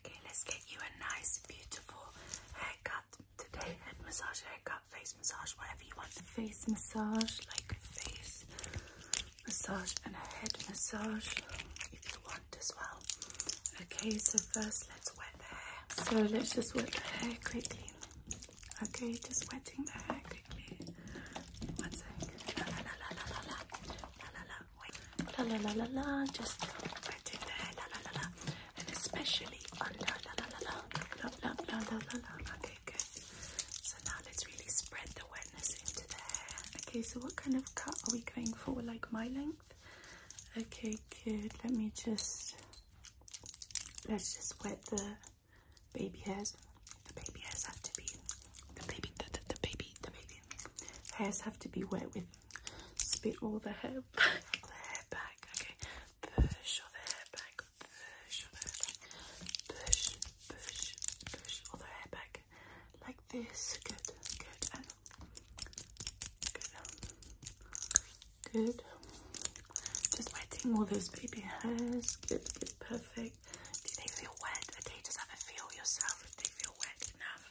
Okay, let's get you a nice, beautiful haircut today. Head massage, haircut, face massage, whatever you want. Face massage, like face massage and a head massage if you want as well. Okay, so first let's wet the hair. So let's just wet the hair quickly. Okay, just wetting the hair quickly. One second. La la wait. La la la la la. Just right in there. La la la la. And especially under la la la la. La la la la la la. Okay, good. So now let's really spread the wetness into the hair. Okay, so what kind of cut are we going for? Like my length? Okay, good. Let me just let's just wet the baby hairs. The baby hairs have to be the baby the, the, the baby the baby hairs have to be wet with spit all the hair back, the hair back, okay, push all the hair back, push push, push, push all the hair back, like this, good, good, and good, just wetting all those baby hairs, good, good, perfect, do they feel wet, do they just have to feel yourself, do they feel wet enough?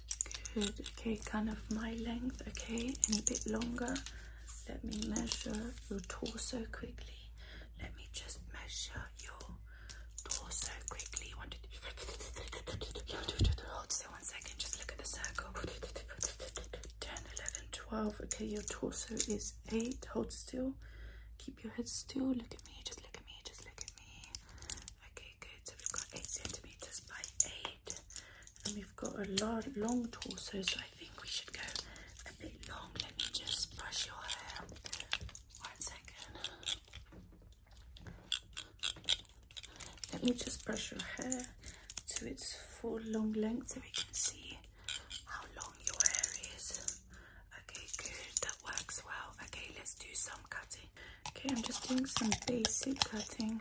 Good, okay, kind of my length, okay, any bit longer. Let me measure your torso quickly. Let me just measure your torso quickly. One, two, three. Hold still one second, just look at the circle. 10, 11, 12. Okay, your torso is 8. Hold still. Keep your head still. Look at me, just look at me, just look at me. Okay, good. So we've got 8 centimeters by 8 and we've got a large, long torso, so I think we should go a bit long. Let me just brush your hair. One second. Let me just brush your hair to its full long length so we can see how long your hair is. Okay, good. That works well. Okay, let's do some cutting. Okay, I'm just doing some basic cutting.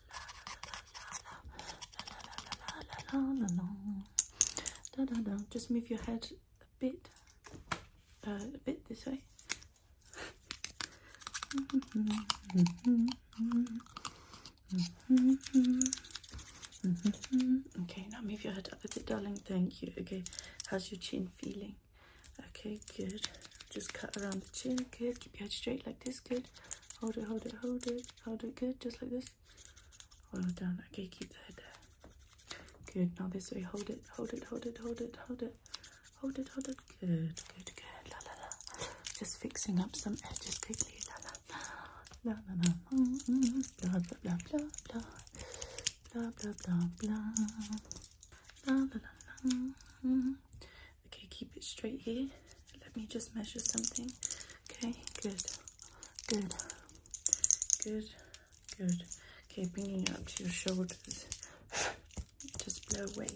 Just move your head a bit, a bit this way. okay, now move your head up a bit, darling. Thank you. Okay, how's your chin feeling? Okay, good. Just cut around the chin. Good. Keep your head straight like this. Good. Hold it, hold it, hold it, hold it. Good. Just like this. Well done. Okay, keep the there. Good. Now this way. Hold it. Hold it. Hold it. Hold it. Hold it. Hold it. Hold it. Good. Good. Good. La la la. Just fixing up some edges quickly. La la la. La la la. Mm -hmm. Blah blah blah blah blah. Blah blah blah blah. La la la la. Mm -hmm. Okay, keep it straight here. Let me just measure something. Okay, good, good, good, good. Okay, bringing it up to your shoulders. Just blow away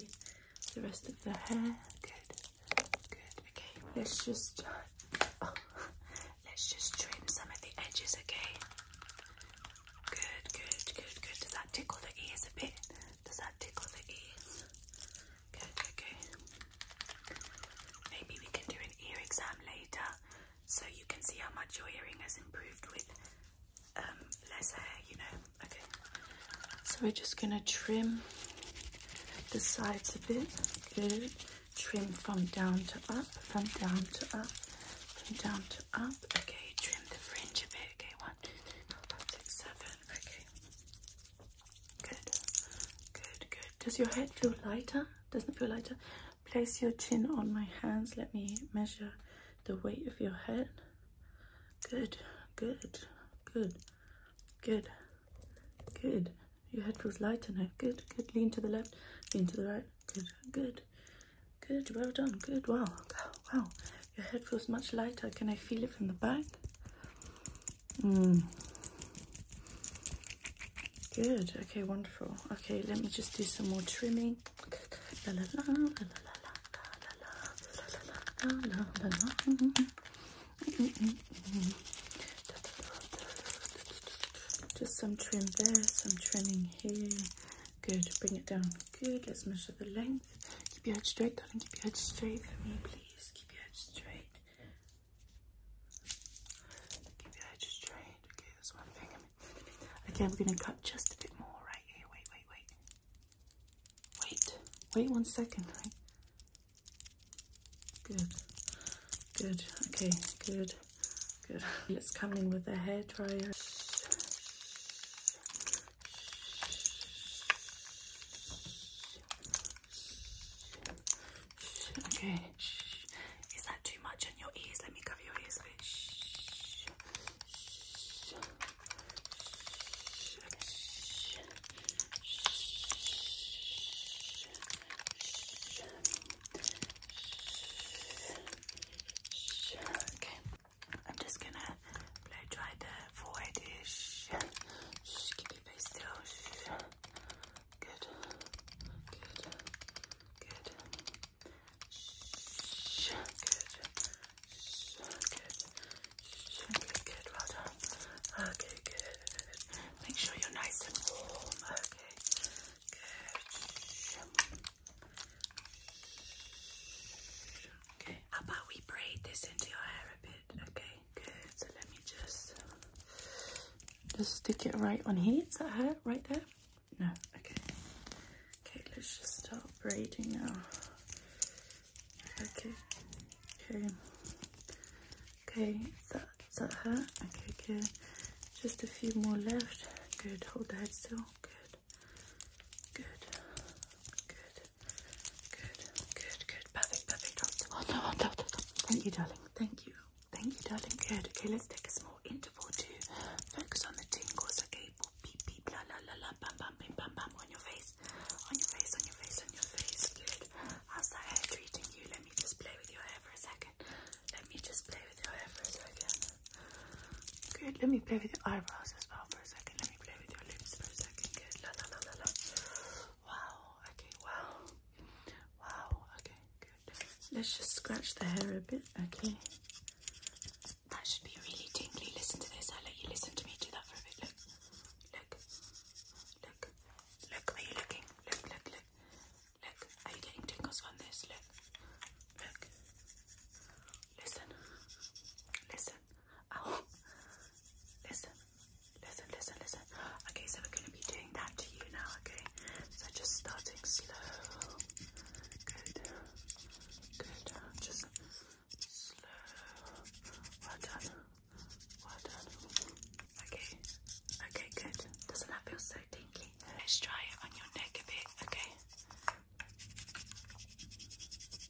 the rest of the hair. Good, good. Okay, let's just oh, let's just trim some of the edges. Okay. Good, good, good, good. Does that tickle the ears a bit? Does that tickle the ears? Good, Maybe we can do an ear exam later so you can see how much your hearing has improved with um, you know. Okay. So we're just going to trim the sides a bit. Good. Trim from down to up, from down to up, from down to up. Okay, trim the fringe a bit. Okay, one, two, three, four, five, six, seven. Okay. Good. Good, good, does your head feel lighter? Doesn't feel lighter? Place your chin on my hands. Let me measure the weight of your head. Good, good, good, good, good. Your head feels lighter now. Good, good. Lean to the left, lean to the right. Good, good, good. Well done. Good. Wow, wow. Your head feels much lighter. Can I feel it from the back? Mm. Good. Okay, wonderful. Okay, let me just do some more trimming. Just some trim there, some trimming here. Good. Bring it down. Good. Let's measure the length. Keep your head straight, darling. Keep your head straight for me, please. Keep your head straight. Okay, Okay, we're gonna cut just a bit more right here. Wait, wait, wait. Wait, wait one second, right? Good. Good. Okay, good. Good. Let's come in with a hairdryer. Okay. Is that too much on your ears? Let me cover your ears. Okay. I'm just gonna blow dry the forehead. Keep your face still good, good, good. Shh, good, shh, good, shh, good, good, well done. Okay, good. Make sure you're nice and warm. Okay, good. Shh. Okay, how about we braid this into your hair a bit? Okay, good. So let me just just stick it right on here. here. Is that her? Right there? No. Okay. Okay, let's just start braiding now. Okay. Okay. Okay, is that, is that her? Okay, good. Just a few more left. Good. Hold that head still. Good. Good. Good. Good. Good. Good. Perfect. Perfect. Oh, no, no, no, Thank you, darling. Thank you. Thank you, darling. Good. Okay, let's take a small interval to focus on the tingles. Okay, beep, beep, la, la, la, la, bam, bam, bam, bam, bam, on your face, on your face, on your face, on your face. Good. How's that hair treating you? Let me just play with your hair for a second. Let me just play with your hair for a second. Good. Let me play with your eyebrows as well for a second. Let me play with your lips for a second. Good. La, la, la, la, la. Wow, okay, wow. Wow, okay, good. Let's just scratch the hair a bit, okay? That should be really tingly. Listen to this. I'll let you listen to me do that for a bit. Look, look, look, look. Are you looking? Look, look, look, look. Are you getting tingles from this? Look, look. Listen, listen. Ow. Listen, Listen, listen, listen. Okay, so we're going to be doing that to you now, okay? So just starting slow. Good. Good. Just slow. Well done. Well done. Okay. Okay, good. Doesn't that feel so tinky? Let's try it on your neck a bit, okay?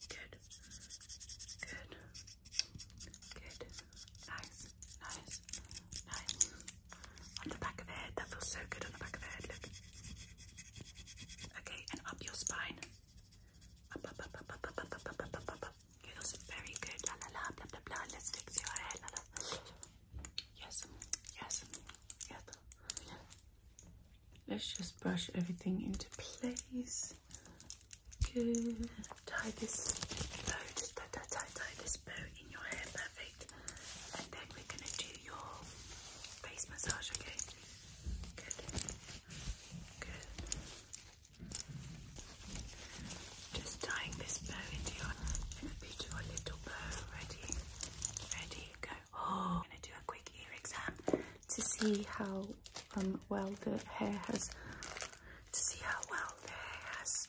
Good. Good. Good nice, nice, nice. On the back of the head, that feels so good on the back of the head, look. Okay, and up your spine. Up, Feels very good, la la la, blah blah blah. Let's fix your hair, la la. Yes, yes, yes. Let's just brush everything into place. Good tie this bow, tie, tie, tie, this bow in your hair, perfect. And then we're gonna do your face massage, okay? Good. Good. Just tying this bow into your, in a beautiful little bow. Ready? Ready? Go. Oh, I'm gonna do a quick ear exam to see how um, well the hair has to see how well the hair has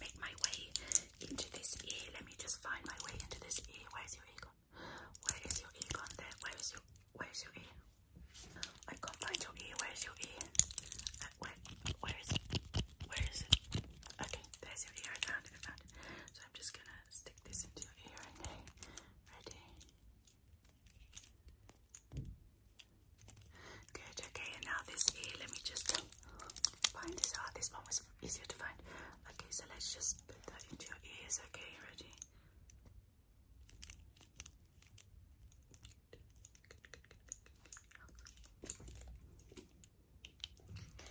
make my way into this ear. Let me just find my way into this ear. Where's your ear gone? Where is your ear gone? There. Where is your Where's your ear? I can't find your ear. Where's your ear? Uh, where? Where is it? Where is it? Okay, there's your ear. I found it. I found it. So I'm just gonna stick this into your ear. Okay, ready. Good, okay, and now this ear, let me just find this out. Ah, this one was easier to find. Okay, so let's just put that into your ears, okay? Ready?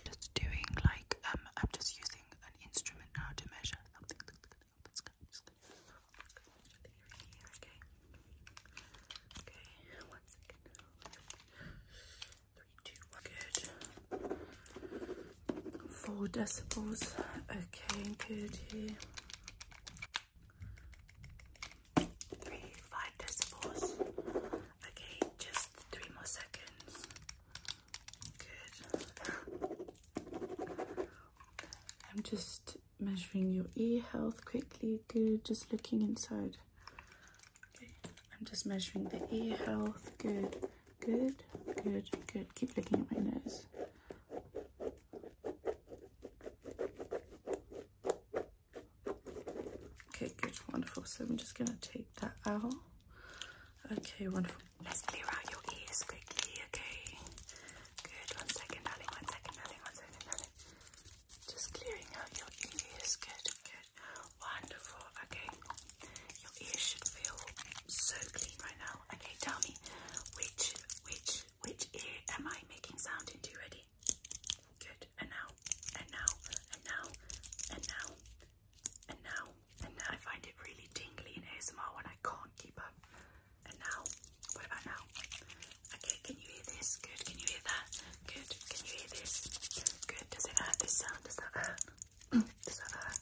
Just doing like um, I'm just using an instrument now to measure something. Just okay. Okay, one second. Three, two, good. Four decibels. Okay, good Three, five decibels. Okay, just three more seconds. Good. I'm just measuring your ear health quickly. Good, just looking inside. I'm just measuring the ear health. Good, good, good, good. Keep looking at my nose. Okay, good, wonderful. So I'm just gonna take that out. Okay, wonderful. Let's clear out your ears quickly, okay? Good, one second, darling, one second, darling, one second, darling. Just clearing out your ears. Good, good. Wonderful. Okay. Your ears should feel so clean right now. Okay, tell me which which which ear am I making sound into? Ready? Good. And now, and now, and now, and now, and now, and now. I find it really tingly in ASMR when I can't keep up. And now, what about now? Okay, can you hear this? Good, can you hear that? Good, can you hear this? Good, does it hurt this sound? Does that hurt? does that hurt?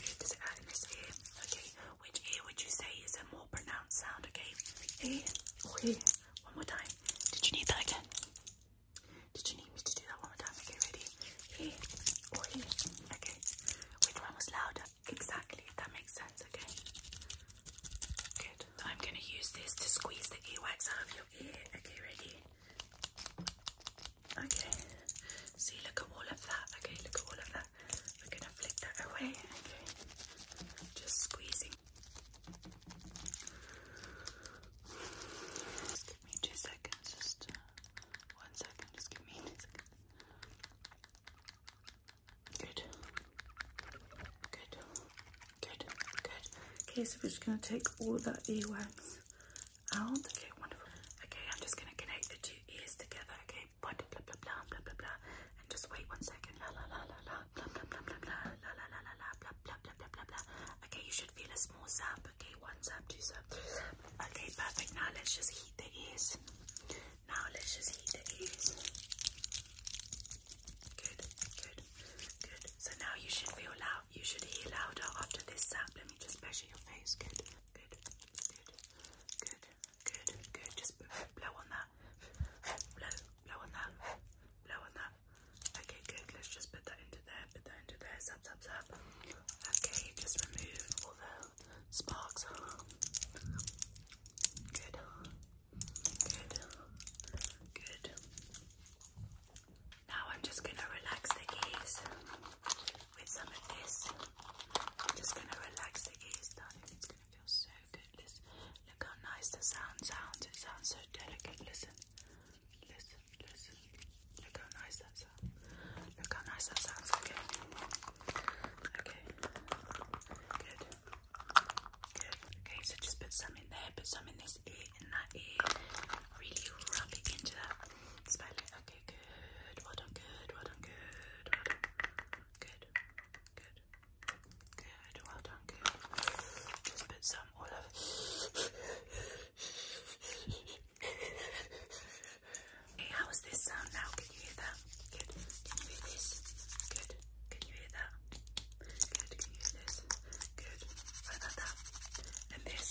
Good, does it hurt in this ear? Okay, which ear would you say is a more pronounced sound? Okay, ear or ear? One more time. Did you need that again? Did you need me to do that one more time? Okay, ready? Ear or ear? Okay, which one was louder? Exactly, that makes sense, okay? Good. I'm going to use this to squeeze the earwax out of your ear. Okay, ready? Okay. See, look at all of that. Okay, look at all of that. We're going to flick that away. Okay. Just squeezing. give me two seconds. Just uh, one second. Just give me Good. Good. Good, good. Okay, so we're just going to take all of that earwax out. Okay, wonderful. Okay, I'm just going to connect the two ears together. Okay, blah, blah, blah, blah, blah, blah, blah. And just wait one second. La, la, la, la, la, blah, blah, blah, blah, blah, la, la, la, la, la, blah, blah, blah, blah, blah, blah. Okay, you should feel a small zap. Okay, one zap, two zap, three zap. Okay, perfect. Now let's just heat the ears. Now let's just heat the ears. Good, good. Good. So now you should feel loud. You should hear louder after this sound. Let me just measure your face. Good. Good. Good. Good. Good. Good. Just blow on that. Blow. Blow on that. Blow on that. Okay. Good. Let's just put that into there. Put that into there. Zap. Zap. Zap. Okay. Just remove all the sparks. Good. Good. Good. Now I'm just gonna relax the gaze with some of this. I'm just gonna relax the gaze, darling. It's gonna feel so good. Listen, look how nice the sound sounds. It sounds so delicate. Listen, listen, listen. Look how nice that sounds. Look how nice that sounds. Okay. Okay. Good. Okay, so just put some in there, put some in this ear, and that ear. Really rub it into that. Okay, good. Well done, good. Well done, good. Good. Good. Good. Well done, good. Just put some all over. Okay, how this sound now? Can you hear that? Good. Can you hear this? Good. Can you hear that? Good. Can you hear this? Good. What about that? And this?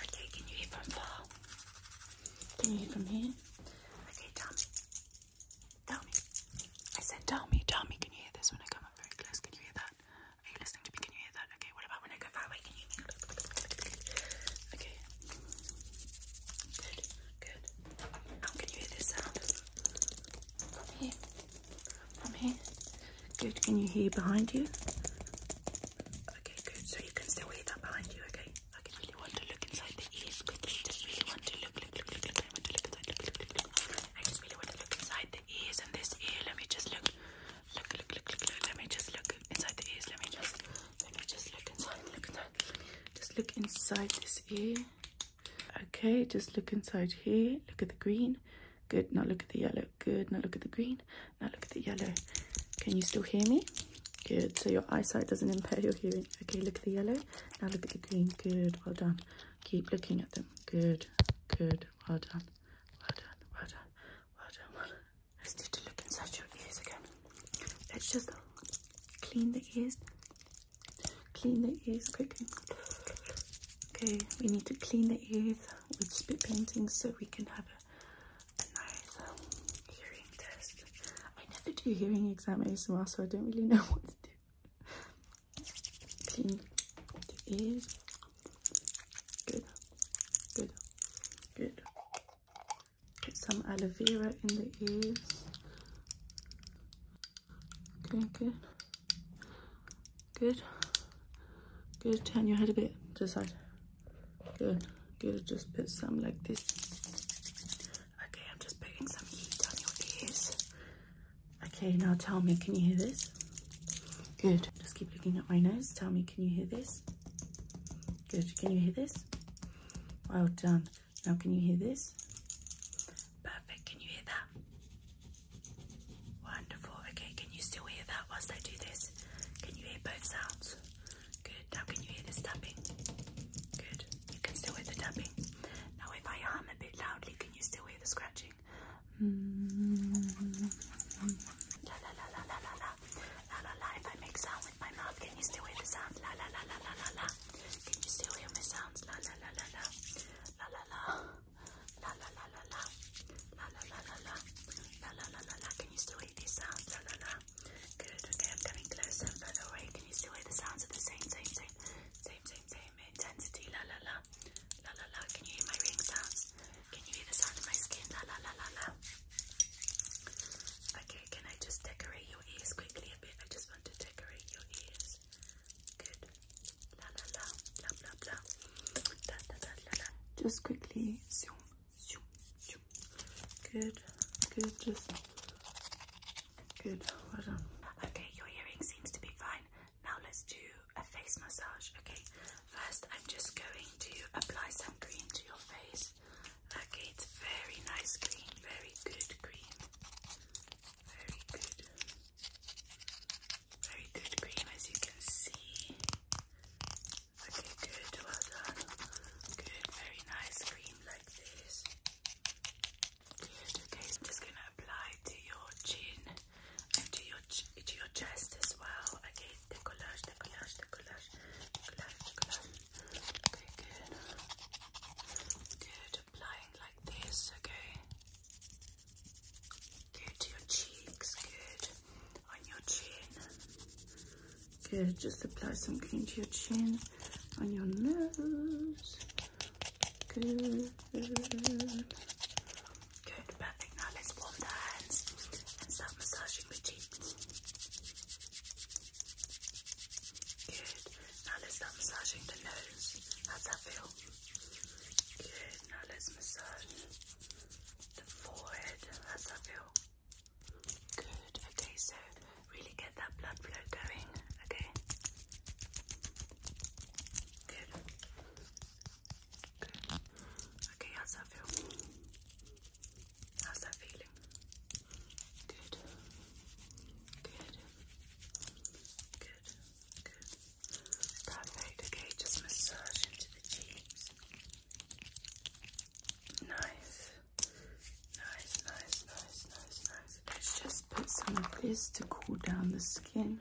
Okay, can you hear from far? Can you hear from here? Okay, tell me. I said tell me, Can you hear this when I come up very close? Can you hear that? Are you listening to me? Can you hear that? Okay, what about when I go far away? Can you hear me? Okay. Good, good. Now can you hear this sound? From here. From here. Good. Can you hear behind you? Okay, good. So you can still hear that behind you, okay? I can really want to look inside the ears quickly. Just really want to look, look, look, look, look. I want to look inside, look, look, look, look. I just really want to look inside the ears and this ear. Let me just look. Look, look, look, look, look. Let me just look inside the ears. Let me just, let me just look inside, look inside. Just look inside this ear. Okay, just look inside here. Look at the green. Good, now look at the yellow. Good, now look at the green. Now look at the yellow. Can you still hear me? Good, so your eyesight doesn't impair your hearing. Okay, look at the yellow. Now look at the green. Good, well done. Keep looking at them. Good, good, well done. Well done, well done, well done, well done. Let's need to look inside your ears again. Let's just clean the ears Clean the ears quickly. Okay, we need to clean the ears with spit painting so we can have a, nice um, hearing test. I never do hearing exam ASMR, so I don't really know what to do. Clean the ears. Good, good, good. Put some aloe vera in the ears. Okay, good. Good. Good. Turn your head a bit to the side. Good. Good. Just put some like this. Okay, I'm just putting some heat on your ears. Okay, now tell me, can you hear this? Good. Just keep looking at my nose. Tell me, can you hear this? Good. Can you hear this? Well done. Now, can you hear this? Perfect. Can you hear that? Wonderful. Okay, can you still hear that whilst I do this? Can you hear both sounds? Good. Now can you hear this tapping? Good. You can still hear the tapping. Now if I hum a bit loudly, can you still hear the scratching? La la la la la la la la la la. If I make sound with my mouth, can you still hear the sound? La la la la la la la. Can you still hear my sounds? La la la la la la la la la la la la la la la la la la la la la la la can you still hear these sounds? La la la good okay I'm coming closer La la la. can you still hear the sounds of the same same same same same same intensity la la la la la la can you hear my ring sounds? Can you hear the sound of my skin? La la la la la Okay, can I just decorate your ears quickly a bit? I just want to decorate your ears. Good. Just quickly zoom, zoom, zoom. Good, good, just good. Okay, your hearing seems to be fine. Now let's do a face massage. Okay, first I'm just going to apply some cream to your face. Okay, it's very nice cream, very good cream. Very good. Very good cream, as you can see. Okay, good, well done. Good, very nice cream like this. okay, I'm just gonna apply to your chin and to your to your chest as well. Okay, decollage, decollage, decollage, decollage, Okay, good. Good, applying like this, okay. Good, to your cheeks, good. On your chin. Good, just apply some cream to your chin. On your nose. Good. Good, perfect. Now let's warm the hands and start massaging the cheeks. Good. Now let's start massaging the nose. How's that feel? Good, now let's massage the forehead. How's that feel? Good, okay, so really get that blood flow going, okay? Good. Good. Okay, how's that feel? How's that feeling? Good. Good. Good. Good. Perfect. Okay, just massage into the cheeks. Nice. Nice, nice, nice, nice, nice. Let's just put some of this to cool down the skin.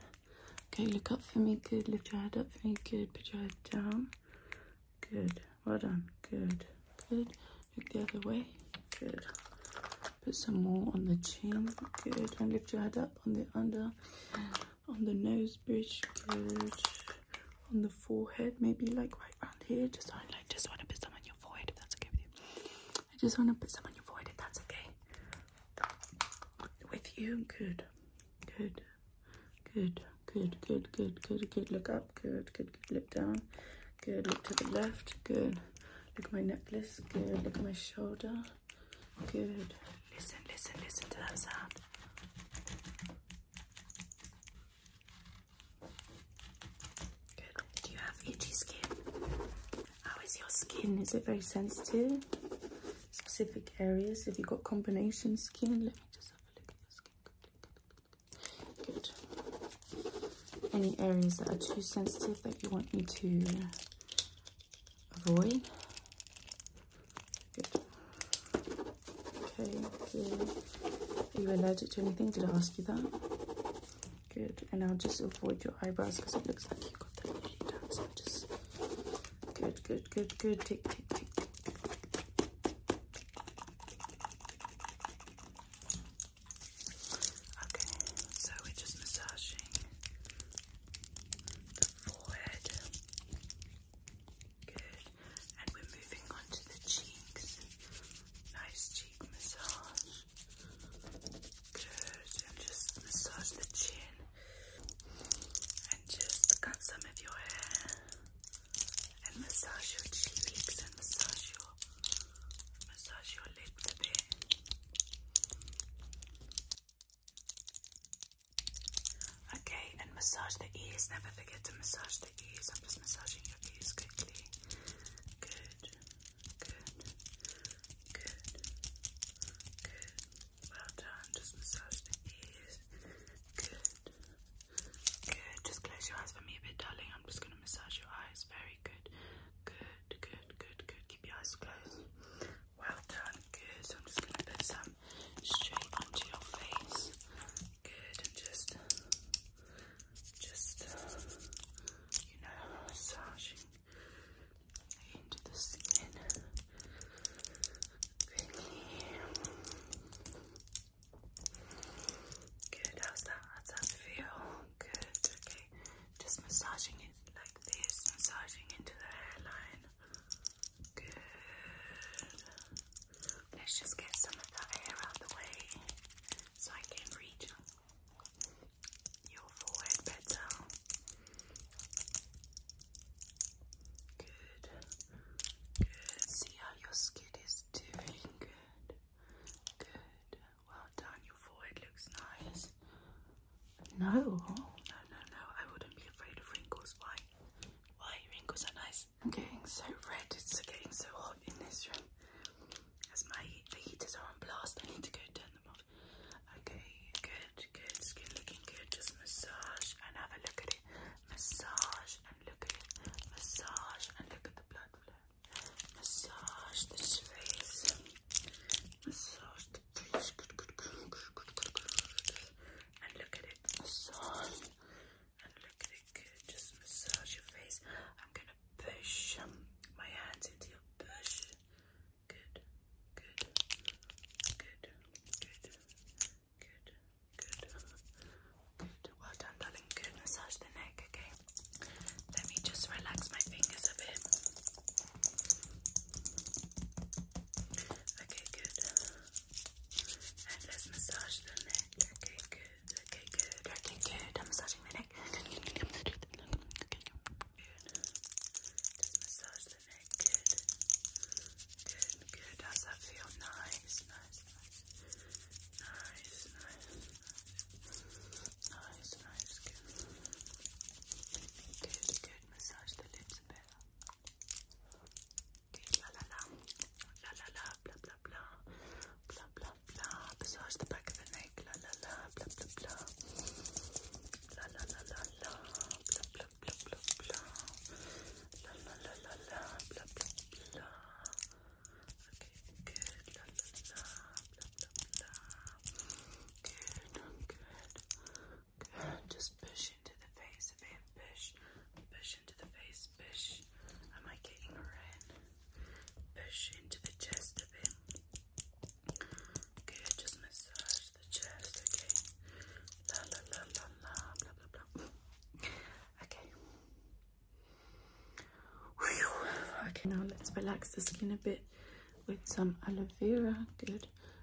Okay, look up for me. Good. Lift your head up for me. Good. Put your head down. Good. Well done. Good. Good. Look the other way. Good. Put some more on the chin. Good. And lift your head up on the under on the nose bridge good on the forehead maybe like right around here just I like just want to put some on your forehead if that's okay with you I just want to put some on your forehead if that's okay with you good good good good good good good good look up good good good look down good look to the left good look at my necklace good look at my shoulder good Listen, listen, listen to that sound. Good. Do you have itchy skin? How is your skin? Is it very sensitive? Specific areas? Have you got combination skin? Let me just have a look at your skin. Good. Any areas that are too sensitive that you want me to avoid. Good. Okay, Are you allergic to anything? Did I ask you that? Good. And I'll just avoid your eyebrows because it looks like you got them nearly done. So just good, good, good, good. Tick, tick, tick. Okay, so we're just massaging the forehead. Good. And we're moving on to the cheeks. Nice cheek massage. Good. And just massage the chin. And just cut some of your hair. And massage your cheeks and massage your massage your lips a bit. Okay, and massage the ears. Never forget to massage the ears. I'm just massaging your ears quickly. Good, good, good, good. Well done. Just massage the ears. Good, good. Just close your eyes for me a bit, darling. I'm just going to massage your eyes. Very good, good, good, good, good. Keep your eyes closed. Well done, good. I'm just going to put some straight onto your face. Good, and just, just, you know, massaging into the skin. Quickly. Good, how's that? How's that feel? Good, okay. Just massaging it like this, massaging into the hairline. Let's just get some of that hair out of the way so I can reach your forehead better. Good. Good. See how your skin is doing. Good. Good. Well done. Your forehead looks nice. No, no, no, no. I wouldn't be afraid of wrinkles. Why? Why wrinkles are nice? I'm getting so red. It's getting so hot in this room. As my the heaters are on blast, I need to go turn them off. Okay, good, good. Skin looking good. Just massage and have a look at it. Massage and look at it. Massage and look at the blood flow. Massage the face. Massage and look at it, massage. And look at it, good. Just massage your face. I'm gonna push um, my hands into your bush. Good, good, good, good, good, good, good. Well done, darling. Good. Massage the neck, okay? Let me just relax my fingers a bit. Okay, good. And let's massage the neck. Okay, good. Okay, good. Okay, good. I'm massaging the neck. Okay, good. Just massage the neck. Good. Good, good. How's that feel? Nice, nice, nice. Nice, nice. Nice, nice. Good. Good, good. Massage the lips a bit. Good, Okay, la la la, la la la, blah blah blah, blah blah blah. Massage the back of the neck, la la la, blah blah blah, la la la la la, blah blah blah blah blah, la la la la la, blah blah blah. Okay, good, la la la, blah blah blah. Good, good. Just push into the face, Push, push into the face, push. Am I getting her in? Push into the chest a bit. Good, just massage the chest, okay? La la la la la, blah blah blah. Okay. Okay, now let's relax the skin a bit with some aloe vera. Good.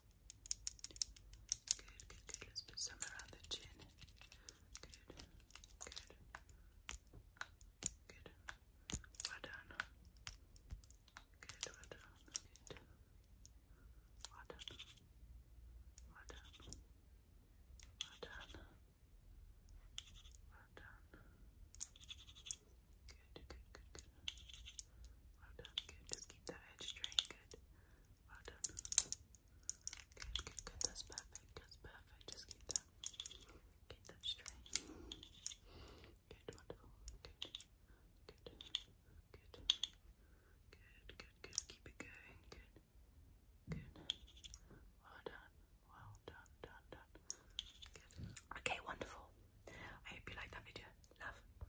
Good, good, good. let put some around the chin. Good, good, good. Well done. Good, well done. Good. Well done. Well done. Well done. Well done. Good, good, good, good. Well done. Good. Just keep that edge straight. Good. Well done. Good, good, good. That's perfect. That's perfect. Just keep that. Keep that straight. Good, wonderful. Good. Good. Good. Good, good, good. Keep it going. Good. Good. Well done. Well done, done, done. Good. Okay, wonderful. I hope you liked that video. Love.